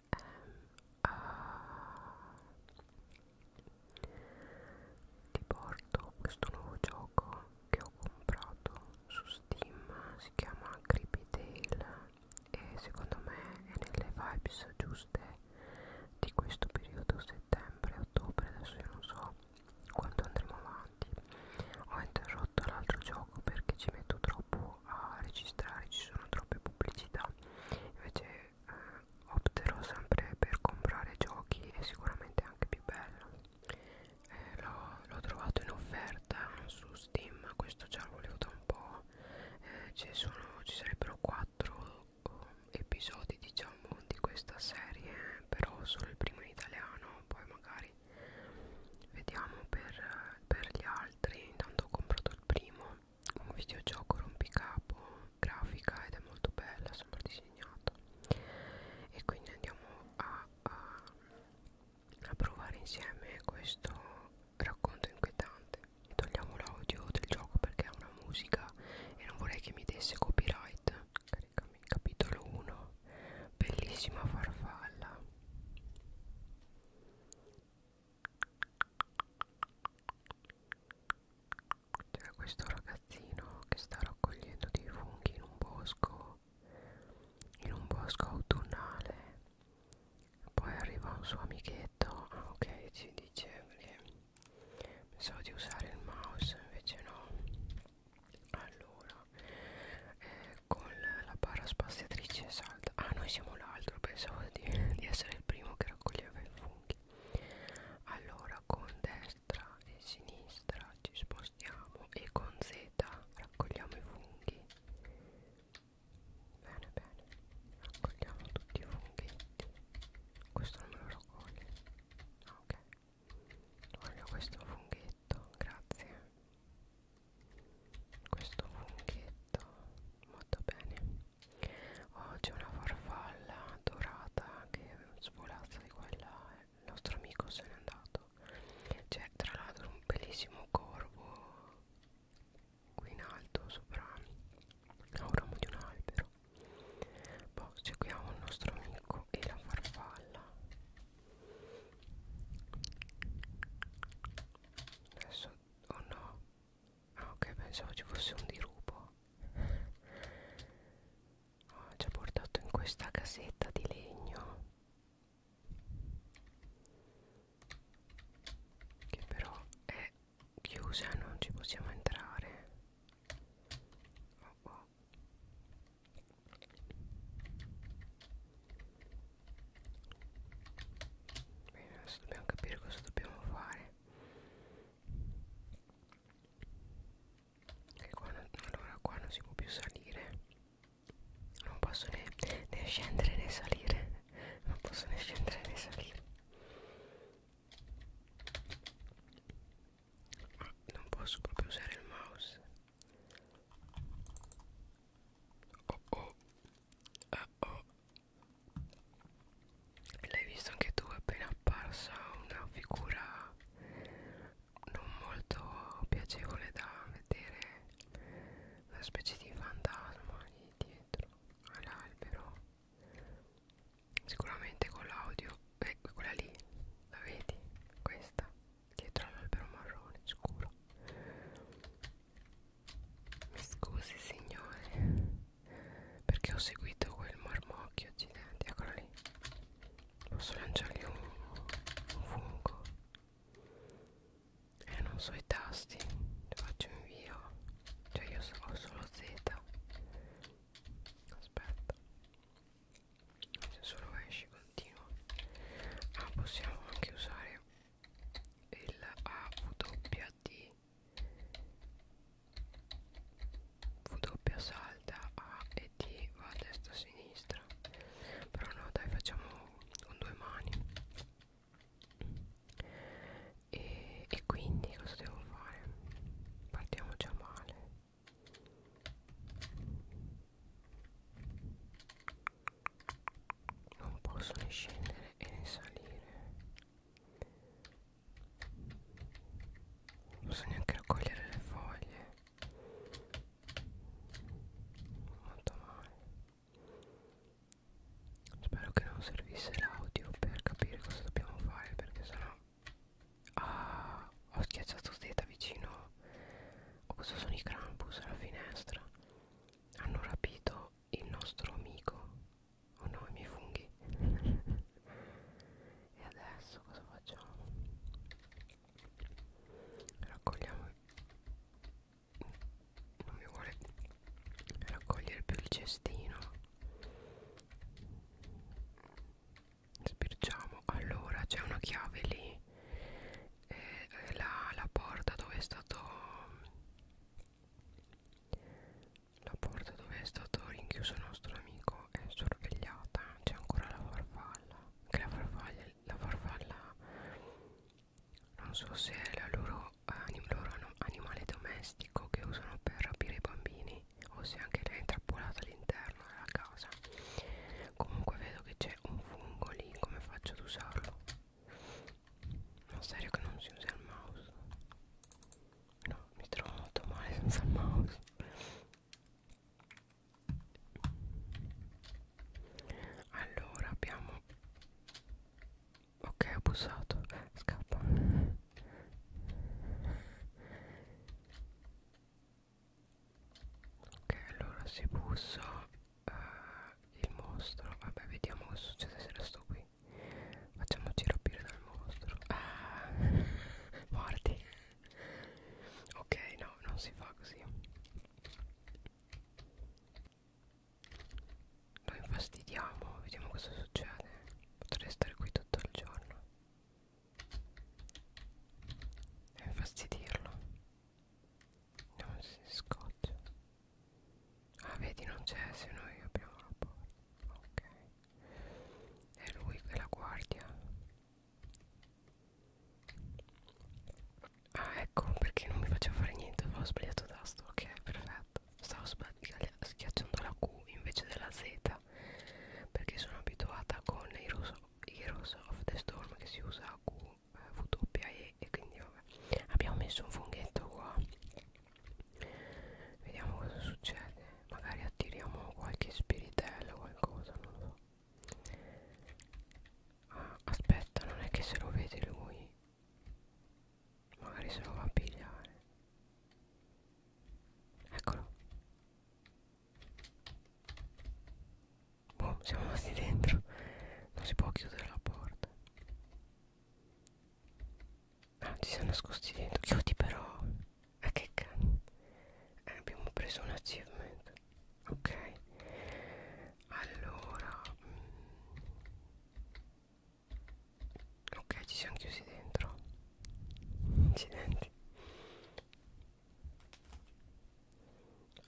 ehm, uh, ti porto questo nuovo gioco che ho comprato su Steam si chiama Creepy Tale e secondo me è nelle vibes giuste di questo periodo settembre-ottobre adesso io non so quando andremo avanti ho interrotto l'altro gioco perché ci metto troppo a registrare ci sono troppe pubblicità invece opterò sempre per comprare giochi e sicuramente anche più bello eh, l'ho trovato in offerta su Steam questo già lo volevo da un po' eh, ci, sono, ci sarebbero 4 eh, episodi diciamo di questa serie però solo il primo in italiano poi magari vediamo per, per gli altri intanto ho comprato il primo un videogioco rompicapo grafica ed è molto bella sembra disegnato e quindi andiamo a, a, a provare insieme questo racconto inquietante togliamo l'audio del gioco perché ha una musica e non vorrei che mi desse copyright caricami capitolo 1 bellissima farfalla c'era questo ragazzino che sta raccogliendo dei funghi in un bosco, in un bosco autunnale. Poi arriva un suo amichetto, ah ok, ci dice perché pensavo di usare il mouse, invece no. Allora, eh, con la barra spaziatrice salta. Ah, noi siamo l'altro, pensavo di, di essere il primo che che raccoglieva i funghi allora con destra e sinistra ci spostiamo e con z raccogliamo i funghi bene bene raccogliamo tutti i funghi questo non me lo raccoglie ah, ok voglio questo funghetto grazie questo funghetto molto bene oh, c'è una farfalla dorata che svolazza di qua e là il nostro amico se n'è andato c'è tra l'altro un bellissimo corvo qui in alto sopra a un ramo di un albero poi c'è qui un nostro amico e la farfalla adesso oh no Ah ok pensavo ci fosse un dirupo oh, Ci ha portato in questa casetta di legno Che però è chiusa non ci possiamo entrare oh, oh. Bene, adesso dobbiamo capire cosa dobbiamo fare. Che qua non, allora qua non si può più salire. Non posso né, né scendere né salire. Non posso né scendere né salire. Ah, non posso proprio usare il mouse. Oh oh. Ah, oh. L'hai visto anche tu appena apparsa una figura non molto piacevole da vedere, una specie di fantasma lì dietro all'albero. Sicuramente con l'audio, eh, quella lì, la vedi? Questa, dietro all'albero marrone scuro. Mi scusi signore Perché ho seguito quel marmocchio accidenti Eccolo lì Posso lanciargli un, un fungo E eh, non so i tasti Faccio invio Cioè io so, ho solo Z Aspetta Se solo esci continua Ah possiamo anche usare il AWD V doppia salta A e D va a destra a sinistra però no dai facciamo con due mani e, e quindi cosa devo fare? Partiamo già male non posso né scendere e né salire non posso neanche raccogliere le foglie molto male spero che non servisse l'audio per capire cosa dobbiamo fare perché sennò ah, ho schiacciato zeta vicino o cosa sono i Krampus alla finestra hanno rapito il nostro amico oh no i miei funghi e adesso cosa facciamo raccogliamo non mi vuole raccogliere più il cestino spirciamo allora c'è una chiave lì eh, la, la porta dove è stato la porta dove è stato rinchiuso il nostro amico è sorvegliata, c'è ancora la farfalla, che la farfalla, la farfalla non so se è la loro, anim, loro animale domestico che usano per rapire i bambini o se anche lei è intrappolata all'interno della casa. Comunque vedo che c'è un fungo lì, come faccio ad usarlo? Ma serio che non si usa il mouse? No, mi trovo molto male senza il mouse Allora abbiamo Ok ho bussato Scappa Ok allora se busso uh, il mostro vabbè vediamo cosa succede se resto qui facciamoci rapire dal mostro ah, morti ok no non si fa così lo infastidiamo vediamo cosa succede potrei stare qui tutto il giorno e infastidirlo non si scoccia ah vedi non c'è se noi apriamo la porta ok è lui che la guardia ah ecco perché non mi faceva fare niente avevo sbagliato tasto ok perfetto stavo schiacciando la Q invece della Z perché sono abituata con i Heroes of the Storm che si usa a Q W, eh, e quindi vabbè abbiamo messo un funghetto qua vediamo cosa succede magari attiriamo qualche spiritello o qualcosa non lo so ah, aspetta non è che se lo vede lui magari se lo va a pigliare eccolo boh siamo rimasti dentro non si può chiudere la porta Ah, ti sei nascosti dentro. Chiudi però. Ah, che cani. Eh, abbiamo preso un achievement. Ok. Allora. Mm. Ok, ci siamo chiusi dentro. Incidenti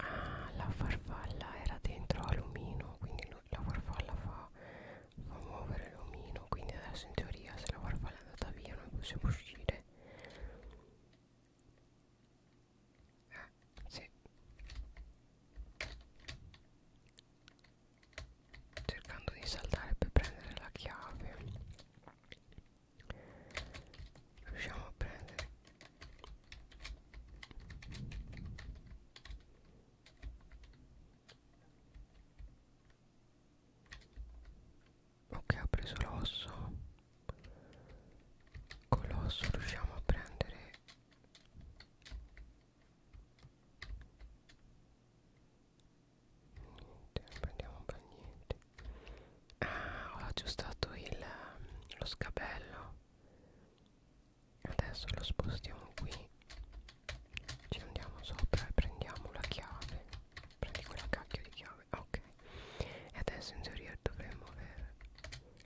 ah la farfalla era dentro a l'omino quindi lo, la farfalla fa, fa muovere l'omino quindi adesso in teoria se la farfalla è andata via noi possiamo uscire ah sì cercando di saltare per prendere la chiave riusciamo a prendere ok ha preso l'osso con l'osso riusciamo a prendere niente non prendiamo un bel niente ah ho aggiustato il, lo scabello adesso lo spostiamo qui ci andiamo sopra e prendiamo la chiave prendi quella cacchio di chiave ok e adesso in teoria dovremmo aver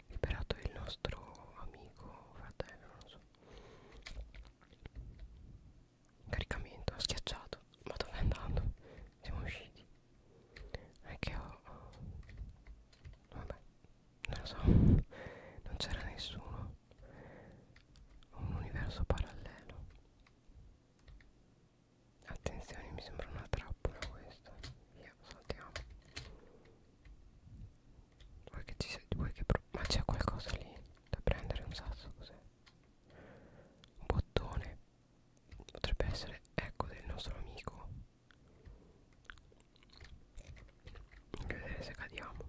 liberato il nostro amico fratello non so caricamento ho schiacciato ma dove è andando siamo usciti è che ho oh. vabbè non lo so non c'era nessuno un universo parallelo attenzione mi sembra una trappola questa via saltiamo vuoi che ci sei vuoi che ma c'è qualcosa lì da prendere un sasso cos'è un bottone potrebbe essere ecco del nostro amico anche vedere se cadiamo.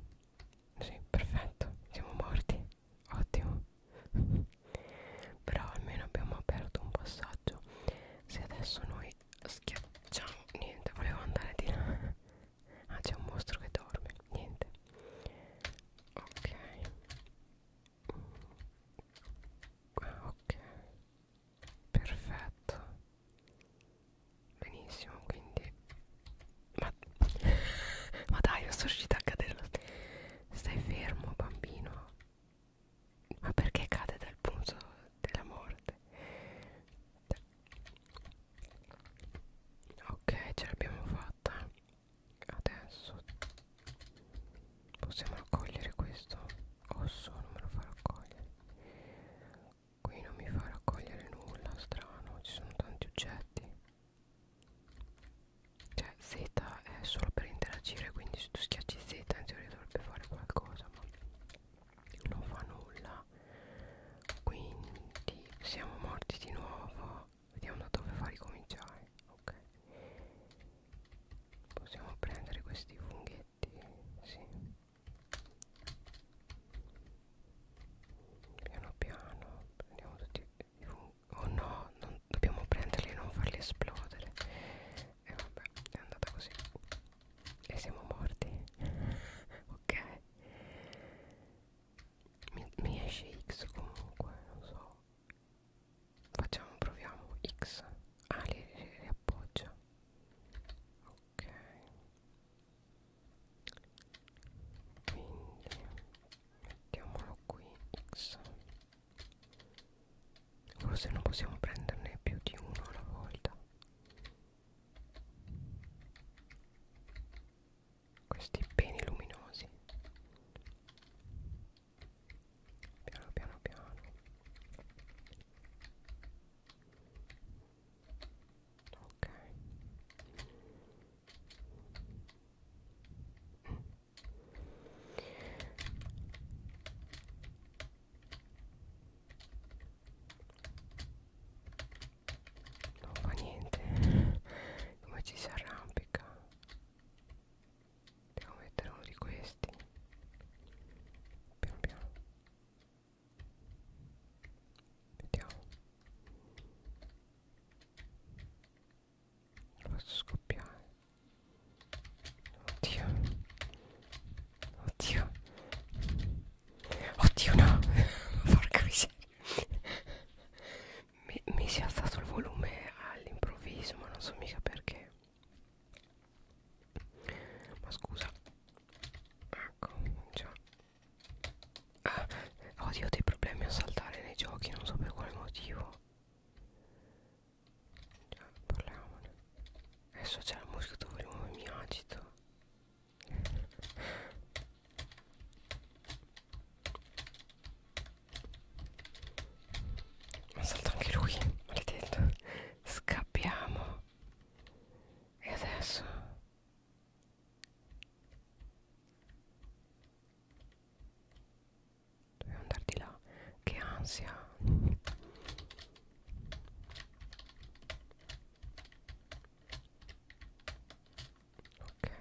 Sì, perfetto. Siamo morti. Ottimo. Però almeno abbiamo aperto un passaggio. Se adesso noi schiacciamo... Niente, volevo andare di là. Ah, c'è un mostro che dorme. Niente. Ok. Ah, ok perfetto benissimo quindi ma, ma dai sono riuscita a cadere stai fermo bambino ma perché cade dal punto della morte ok ce l'abbiamo fatta adesso possiamo raccogliere questo osso non me lo fa raccogliere Qui non mi fa raccogliere nulla, strano, ci sono tanti oggetti. Cioè Z è solo per interagire, quindi se tu schiacci Z in teoria dovrebbe fare qualcosa, ma non fa nulla. Quindi siamo morti di nuovo. Vediamo da dove fa ricominciare. Ok. Possiamo prendere questi funghetti pezzetti sì piano piano prendiamo tutti i oh no non, dobbiamo prenderli e non farli esplodere e vabbè è andata così e siamo morti ok mi, mi esce X comunque non so facciamo proviamo X ah li riappoggia ok quindi mettiamolo qui x forse non possiamo prenderne più di uno alla volta questi peni luminosi piano piano piano ok non fa niente come ci si arrampica devo mettere uno di questi piano piano Vediamo. Lo faccio scoppiare. Oddio. Oddio. Oddio no. Porca miseria. Mi, mi si è alzato il volume all'improvviso, ma non so mica perché. Ma scusa Ecco già ah, Odio dei problemi a saltare nei giochi Non so per quale motivo Già parliamone Adesso c'è la musica dove mi agito ma salta anche lui, maledetto. Scappiamo. E adesso? Dobbiamo andare di là. Che ansia. Ok.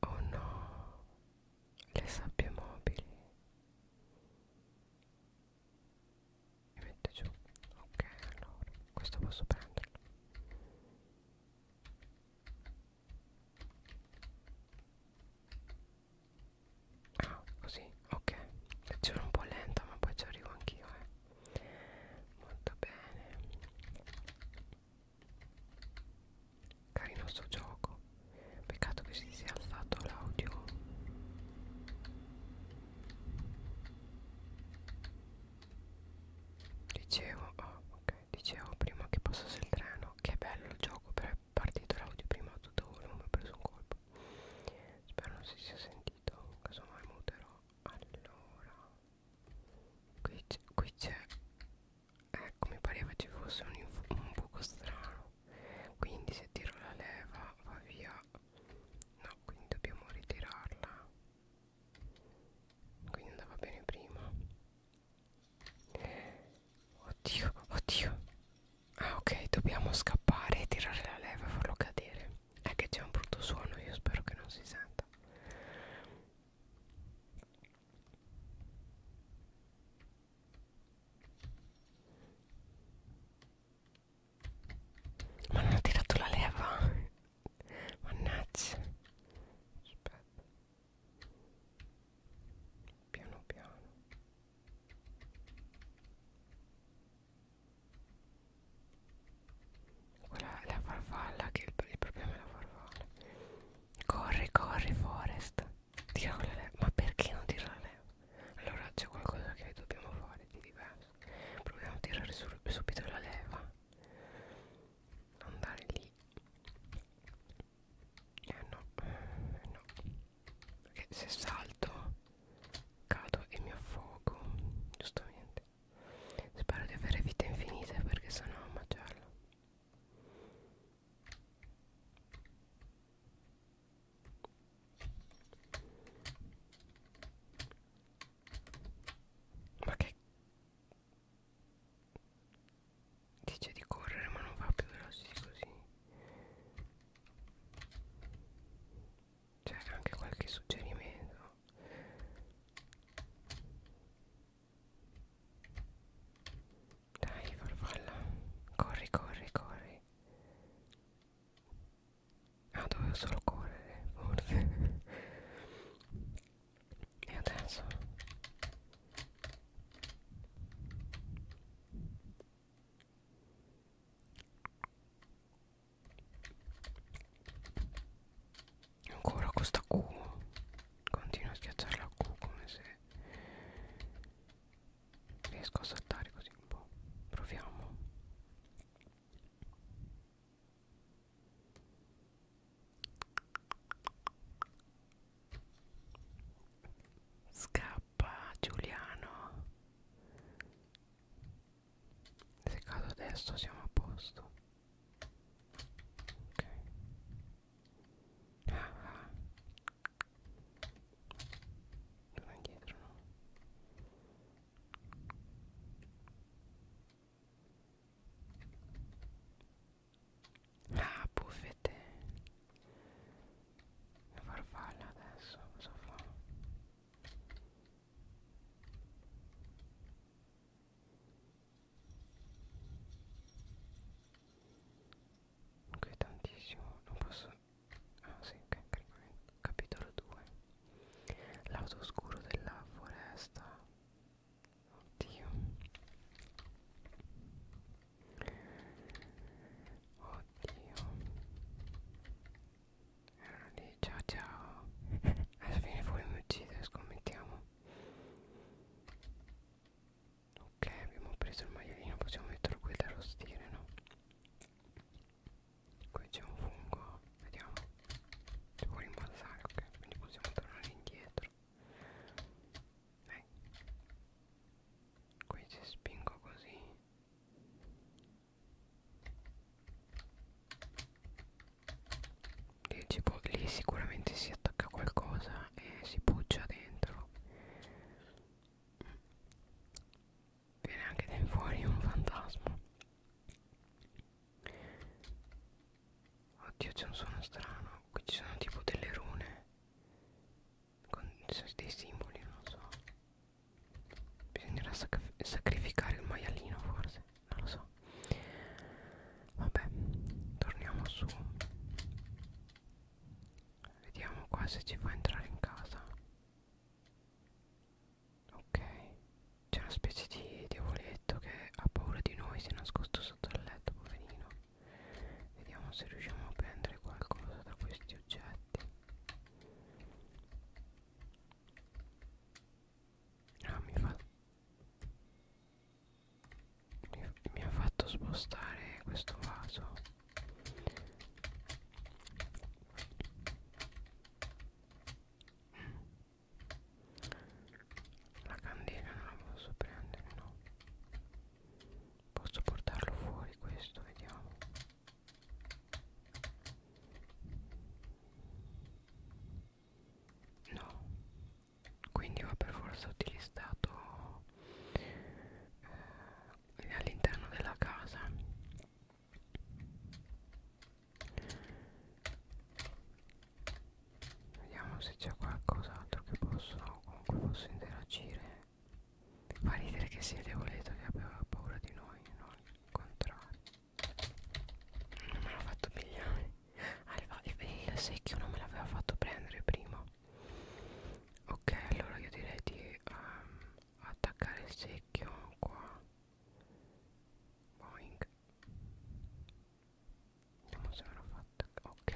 Oh no. Le sabbie mobili e mette giù ok allora questo posso prenderlo ah così ok sono un po' lenta ma poi ci arrivo anch'io eh. molto bene carino sto gioco peccato che si sia alzato l'audio Dicevo, oh, ok, dicevo prima che passasse il treno, che è bello il gioco, però è partito l'audio prima a tutto volume, ho preso un colpo. Spero non si sia sentito, casomai muterò. Allora, qui c'è, qui c'è, ecco mi pareva ci fosse un, un buco strano quindi se tiro la leva va via no quindi dobbiamo ritirarla quindi andava bene prima oddio oddio ah ok dobbiamo scappare e tirare la leva e farlo cadere è che c'è un brutto suono io spero che non si senta ma non ha tirato la leva? Mannaggia. Aspetta. Piano piano. Quella è la farfalla che il, il problema è la farfalla. Corri, corri, Forest. Tiralo le leve. Ma perché non tirare le leva? Allora c'è qualcosa che dobbiamo fare di diverso. Proviamo a tirare su, subito la leva. Andare lì. Eh no, eh no. Perché se salto cado e mi affogo. Giustamente. Spero di avere vite infinite perché sennò è un macello. Ma che dice di correre ma non va più veloce così c'è anche qualche suggerimento dai farfalla corri corri corri Ah dovevo solo correre forse E adesso Ancora questa Q Continuo a schiacciare la Q come se riesco a saltare così un po' proviamo scappa Giuliano se cado adesso siamo a posto ok ah, ah torna indietro no Ah, buffete. La farfalla adesso cosa fa? Inquietantissimo, non posso ah sì, okay, caricamento. capitolo 2 lato oscuro della foresta oddio oddio erano lì ciao ciao adesso viene fuori mi uccide scommettiamo ok abbiamo preso il maialino possiamo metterlo qui da arrostire no qui c'è un fungo vediamo si può rimbalzare ok quindi possiamo tornare indietro Dai. qui ci spingo così lì, può, lì sicuramente si attacca qualcosa e si buccia dentro viene anche da fuori un fantasma oddio c'è un suono strano qui ci sono tipo delle rune con dei simboli non so bisognerà sac sacrificare il maialino forse non lo so vabbè torniamo su Vediamo qua se ci fa entrare in casa. Ok, c'è una specie di diavoletto che ha paura di noi, si è nascosto sotto il letto, poverino. Vediamo se riusciamo a prendere qualcosa da questi oggetti. Ah, mi fa... Mi, mi ha fatto spostare questo vaso la candela non la posso prendere, no. Posso portarlo fuori questo, vediamo. No, quindi va per forza utilizzato eh, all'interno della casa vediamo se c'è qualcos'altro che posso con cui posso interagire fa ridere che sia debolezza che aveva paura di noi non il contrario non me l'ha fatto pigliare ah, il, il, il secchio non me l'aveva fatto prendere prima no ok allora io direi di um, attaccare il secchio qua boing vediamo se me l'ho fatta ok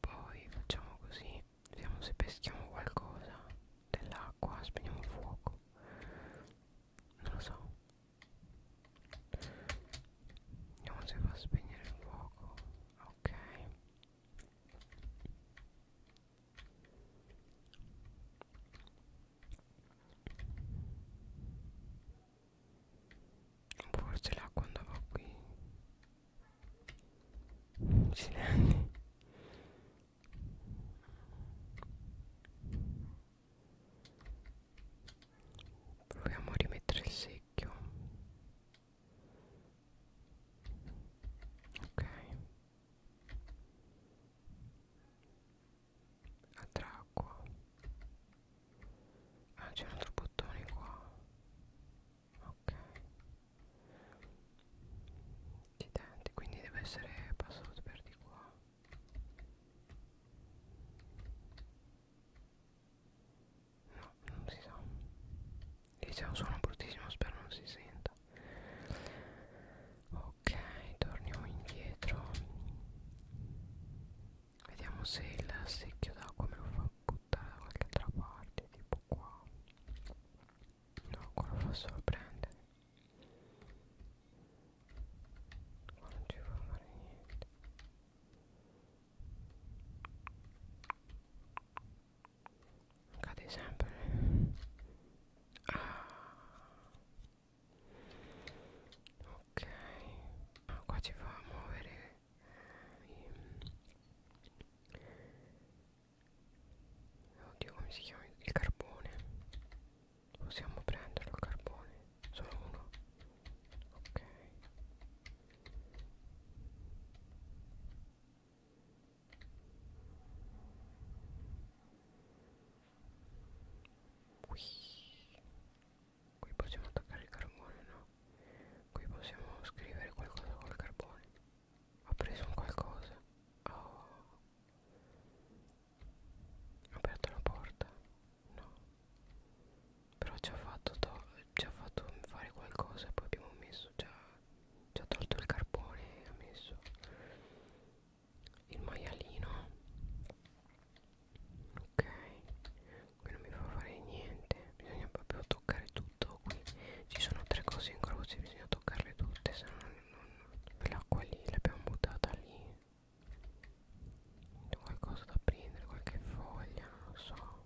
poi facciamo così vediamo se peschiamo qualcosa dell'acqua spegniamo il fuoco non lo so vediamo se fa spegnere il fuoco ok Forse l'acqua andava qui. Silenti. Proviamo a rimettere il secchio ok attracqua ah c'è un altro bottone qua ok accidenti quindi deve essere passato per di qua no non si sa diciamo sono bruttissimo spero non si senta ok torniamo indietro vediamo se il secchio d'acqua me lo fa buttare da qualche altra parte tipo qua no qua lo fa solo prendere qua non ci fa fare niente cade sempre ah. ok ah, qua ci fa muovere oddio come si chiama il carbone possiamo prenderlo il carbone solo uno ok Qui. Qui possiamo attaccare il carbone, no? Qui possiamo scrivere qualcosa col carbone. Ho preso un qualcosa. Oh. Ho aperto la porta. No. Però ci ha fatto, to ci ha fatto fare qualcosa e poi abbiamo messo già ci ha tolto il carbone ha messo il maialino ok qui non mi fa fare niente bisogna proprio toccare tutto qui ci sono tre cose in croce bisogna toccarle tutte se no non... l'acqua lì l'abbiamo buttata lì qualcosa da prendere qualche foglia non lo so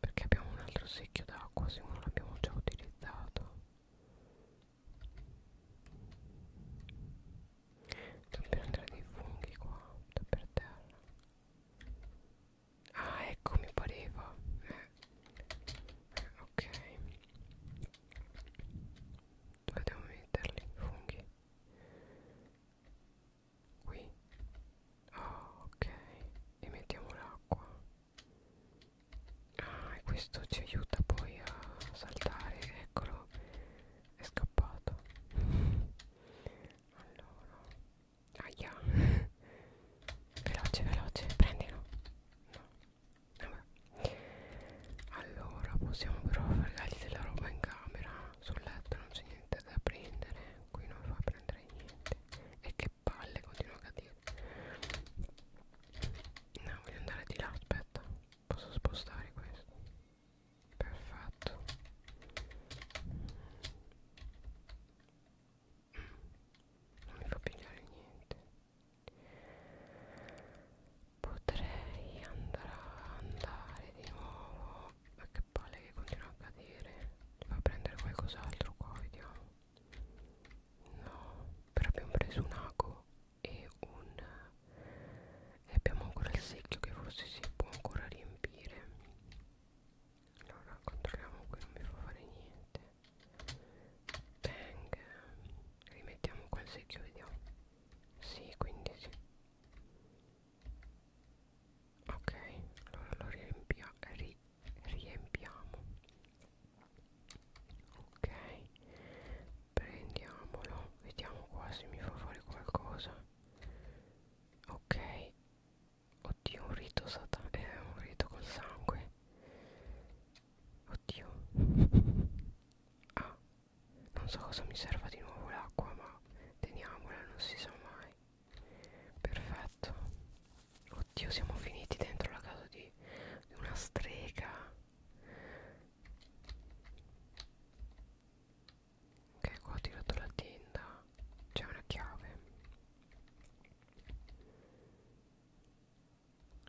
perché abbiamo un altro secchio d'acqua se non l'abbiamo già utilizzato devo prendere dei funghi qua per terra ah ecco mi pareva eh. Eh, ok dove devo metterli i funghi qui oh, ok e mettiamo l'acqua ah e questo ci aiuta poi a saltare eccolo è scappato allora aia veloce veloce prendilo no vabbè allora possiamo però fregargli della roba in camera sul letto non c'è niente da prendere qui non fa prendere c'entra niente e che palle continuo a dire no voglio andare di là aspetta posso spostare questo perfetto non mi fa pigliare niente potrei andare andare di nuovo no ma che palle che continua a cadere devo prendere qualcos'altro qua vediamo no però abbiamo preso un ago e un e abbiamo ancora il secchio che forse si può ancora riempire allora controlliamo qui non mi fa fare niente bang rimettiamo qua il secchio vediamo sì quindi sì ok allora lo riempia, ri, riempiamo ok prendiamolo vediamo qua se mi fa fare qualcosa ok oddio un rito satanico eh, un rito col sangue oddio ah non so cosa mi serva di nuovo l'acqua ma teniamola non si sa mai perfetto oddio siamo finiti dentro la casa di, di una strega ok qua ho tirato la tenda c'è una chiave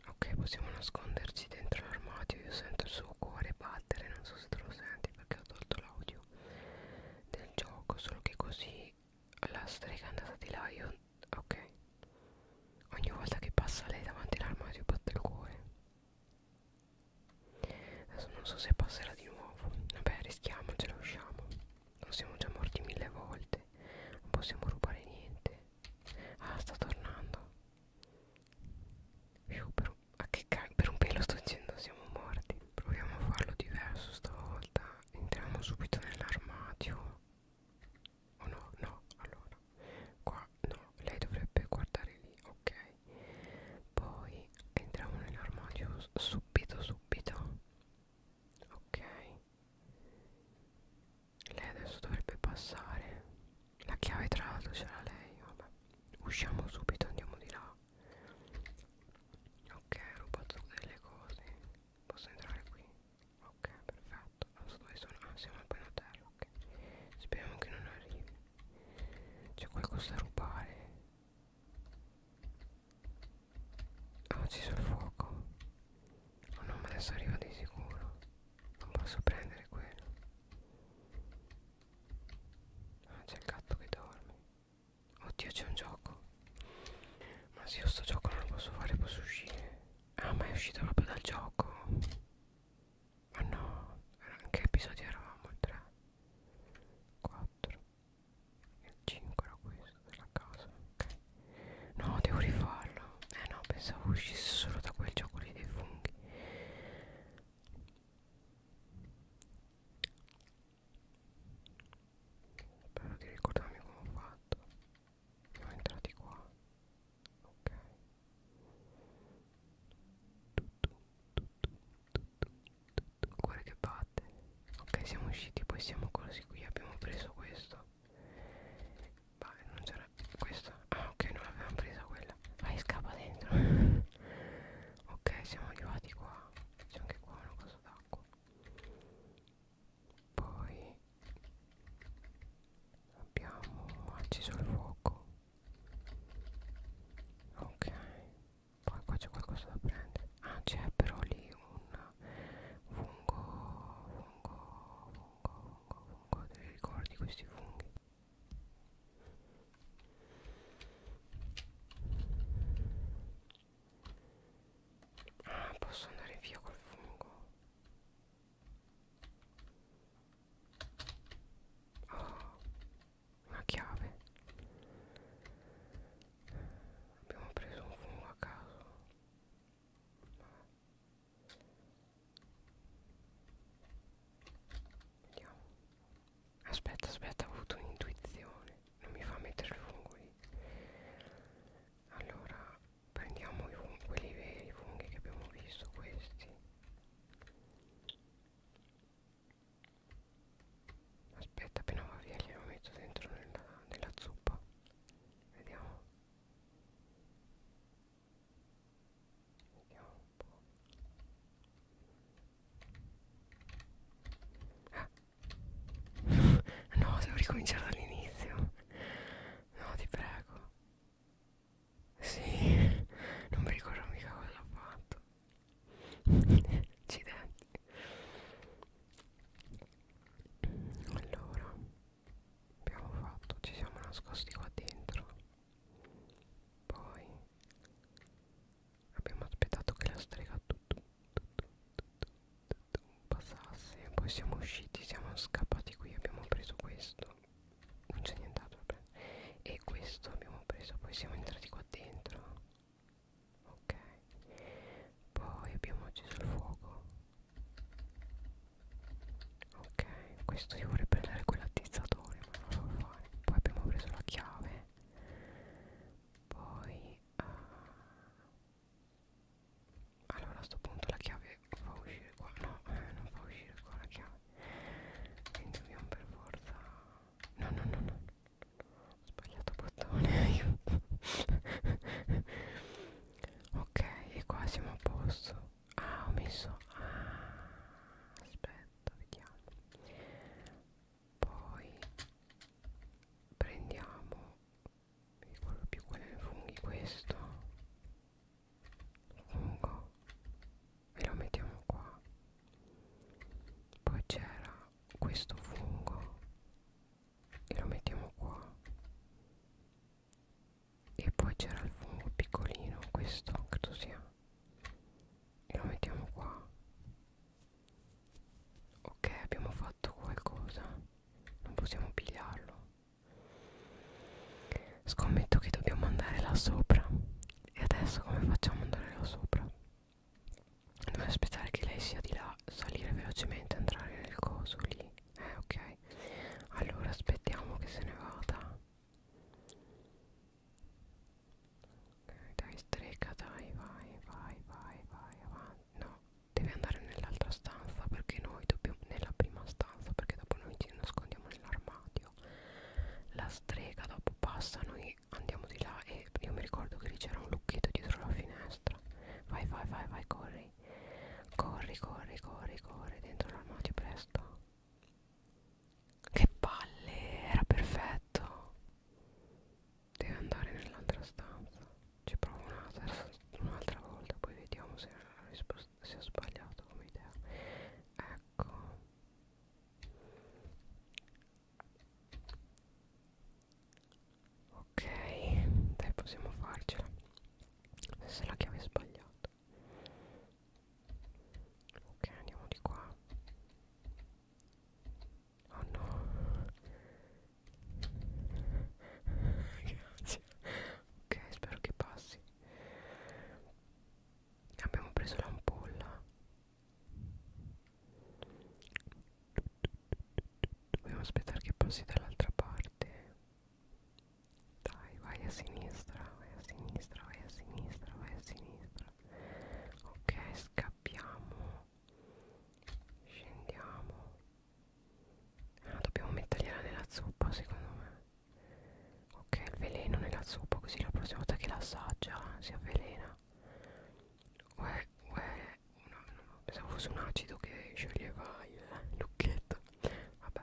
ok possiamo nasconderci dentro l'armadio io sento il suo cuore battere non so se te lo senti perché ho tolto l'audio del del gioco solo che così la strega è andata di là io ok ogni volta che passa lei davanti all'armadio batte il cuore adesso non so se passerà di nuovo vabbè rischiamocela usciamo non siamo già morti mille volte non possiamo rubare niente ah sta tornando Più per un, ah, che per un pelo sto dicendo siamo morti proviamo a farlo diverso stavolta entriamo subito nell'armadio o oh no no allora qua no lei dovrebbe guardare lì ok poi entriamo nell'armadio subito subito ok lei adesso dovrebbe passare la chiave tra l'altro ce l'ha lei vabbè usciamo subito andiamo di là Ok, ho rubato delle cose. Posso entrare qui? Ok, perfetto. Adesso ah, dove sono? Ah, siamo al piano terra, ok. Speriamo che non arrivi. C'è qualcosa da rubare. Ah, ci sono il fuoco. Oh no, ma adesso arriva di sicuro. Non posso prendere quello. Ah, c'è il gatto che dorme. Oddio c'è un gioco Ma se io sto gioco non lo posso fare posso uscire Ah ma è uscito proprio dal gioco Ma no In che episodio eravamo? Il 3 4 Il 5 era questo della casa Ok No devo rifarlo Eh no pensavo uscisse solo da quel gioco lì dei funghi spero di ricordarmi come ho fatto siamo entrati qua ok tutto, tutto, tutto, tutto. cuore che batte ok siamo usciti poi siamo così qui abbiamo preso questo ma non c'era questa ah ok non l'avevamo presa quella vai scappa dentro ok siamo arrivati qua c'è anche qua una cosa d'acqua poi abbiamo acceso il fuoco ok poi qua c'è qualcosa da prendere ah c'è però lì un fungo fungo fungo fungo fungo te li ricordi questi funghi Ah, posso andare via col fungo. Oh, una chiave. Abbiamo preso un fungo a caso. Vediamo. Aspetta, aspetta, ho avuto un'intuizione. Non mi fa mettere il fungo lì. Allora, prendiamo i funghi, quelli veri, i funghi che abbiamo visto, questi. Aspetta, appena va via glielo metto dentro nella, nella zuppa. Vediamo. Vediamo un po'. No, devo ricominciare dall'inizio. No, ti prego. Sì, non mi ricordo mica cosa ho fatto. Accidenti. Allora, abbiamo fatto, ci siamo nascosti qua dentro. Poi abbiamo aspettato che la strega tutto, tutto, tutto, tutto passasse poi siamo usciti siamo scappati qui abbiamo preso questo non c'è nient'altro da prendere e questo abbiamo preso poi siamo entrati qua dentro ok poi abbiamo acceso il fuoco ok questo io vorrei prendere quell'attizzatore ma non lo so fare poi abbiamo preso la chiave poi uh, allora a sto punto la chiave fa uscire qua no eh, non fa uscire qua la chiave quindi dobbiamo per forza no no no no ho sbagliato bottone ok e qua siamo a posto ah ho messo ah, aspetta vediamo poi prendiamo mi ricordo più quello dei funghi questo fungo e lo mettiamo qua poi c'era questo fungo e lo mettiamo qua e poi c'era il fungo piccolino questo credo sia e lo mettiamo qua ok abbiamo fatto qualcosa non possiamo pigliarlo scommetto che dobbiamo andare là sopra e adesso come facciamo ad andare là sopra dobbiamo aspettare che lei sia di là salire velocemente entrare nel coso lì eh ok allora aspettiamo che se ne vada Ok, dai, streca, dai, vai, vai, vai, vai, avanti. No, devi andare nell'altra stanza perché noi dobbiamo, nella prima stanza, perché dopo noi ci nascondiamo nell'armadio. La strega dopo passa, noi andiamo di là e io mi ricordo che lì c'era un lucchetto dietro la finestra. Vai, vai, vai, vai, corri. Corri, corri, corri, corri dentro l'armadio presto. Che palle, era perfetto. Deve andare nell'altra stanza. Ci provo un'altra un volta, poi vediamo se la risposta sia sbagliata come idea. Ecco. Ok, dai, possiamo farcela. Se la chiave è sbagliata. Ok, andiamo di qua. Oh no Grazie Ok spero che passi Abbiamo preso l'ampolla Dobbiamo aspettare che passi dall'altra parte Dai vai a sinistra Vai a sinistra Vai a sinistra Vai a sinistra ok scappiamo scendiamo ah, dobbiamo mettergliela nella zuppa secondo me ok il veleno nella zuppa così la prossima volta che la assaggia si avvelena uè uè no, no, pensavo fosse un acido che scioglieva il lucchetto vabbè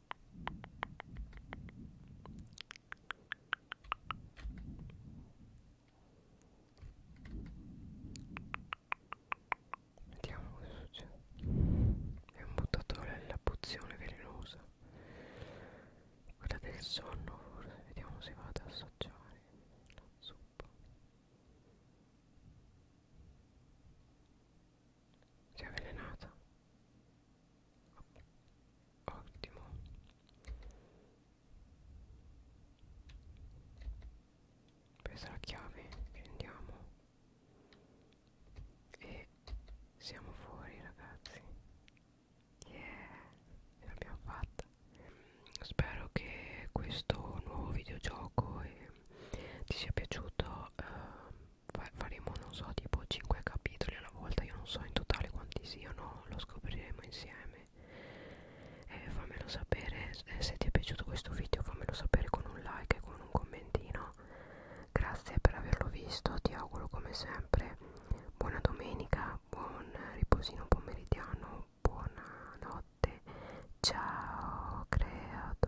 Vediamo cosa succede. È un buttatore della pozione velenosa. Quella del sonno forse. Vediamo se va ad assaggiare la zuppa. Si è avvelenata ottimo questa è la chiave prendiamo e siamo fuori ragazzi yeah ce l'abbiamo fatta spero che questo nuovo videogioco eh, ti sia piaciuto eh, faremo non so tipo 5 capitoli alla volta io non so in totale quanti siano lo scopriremo insieme eh, fammelo sapere eh, se ti è piaciuto questo video fammelo sapere con un like e con un commentino grazie per averlo visto ti auguro come sempre buona domenica buon riposino pomeridiano buonanotte ciao creatora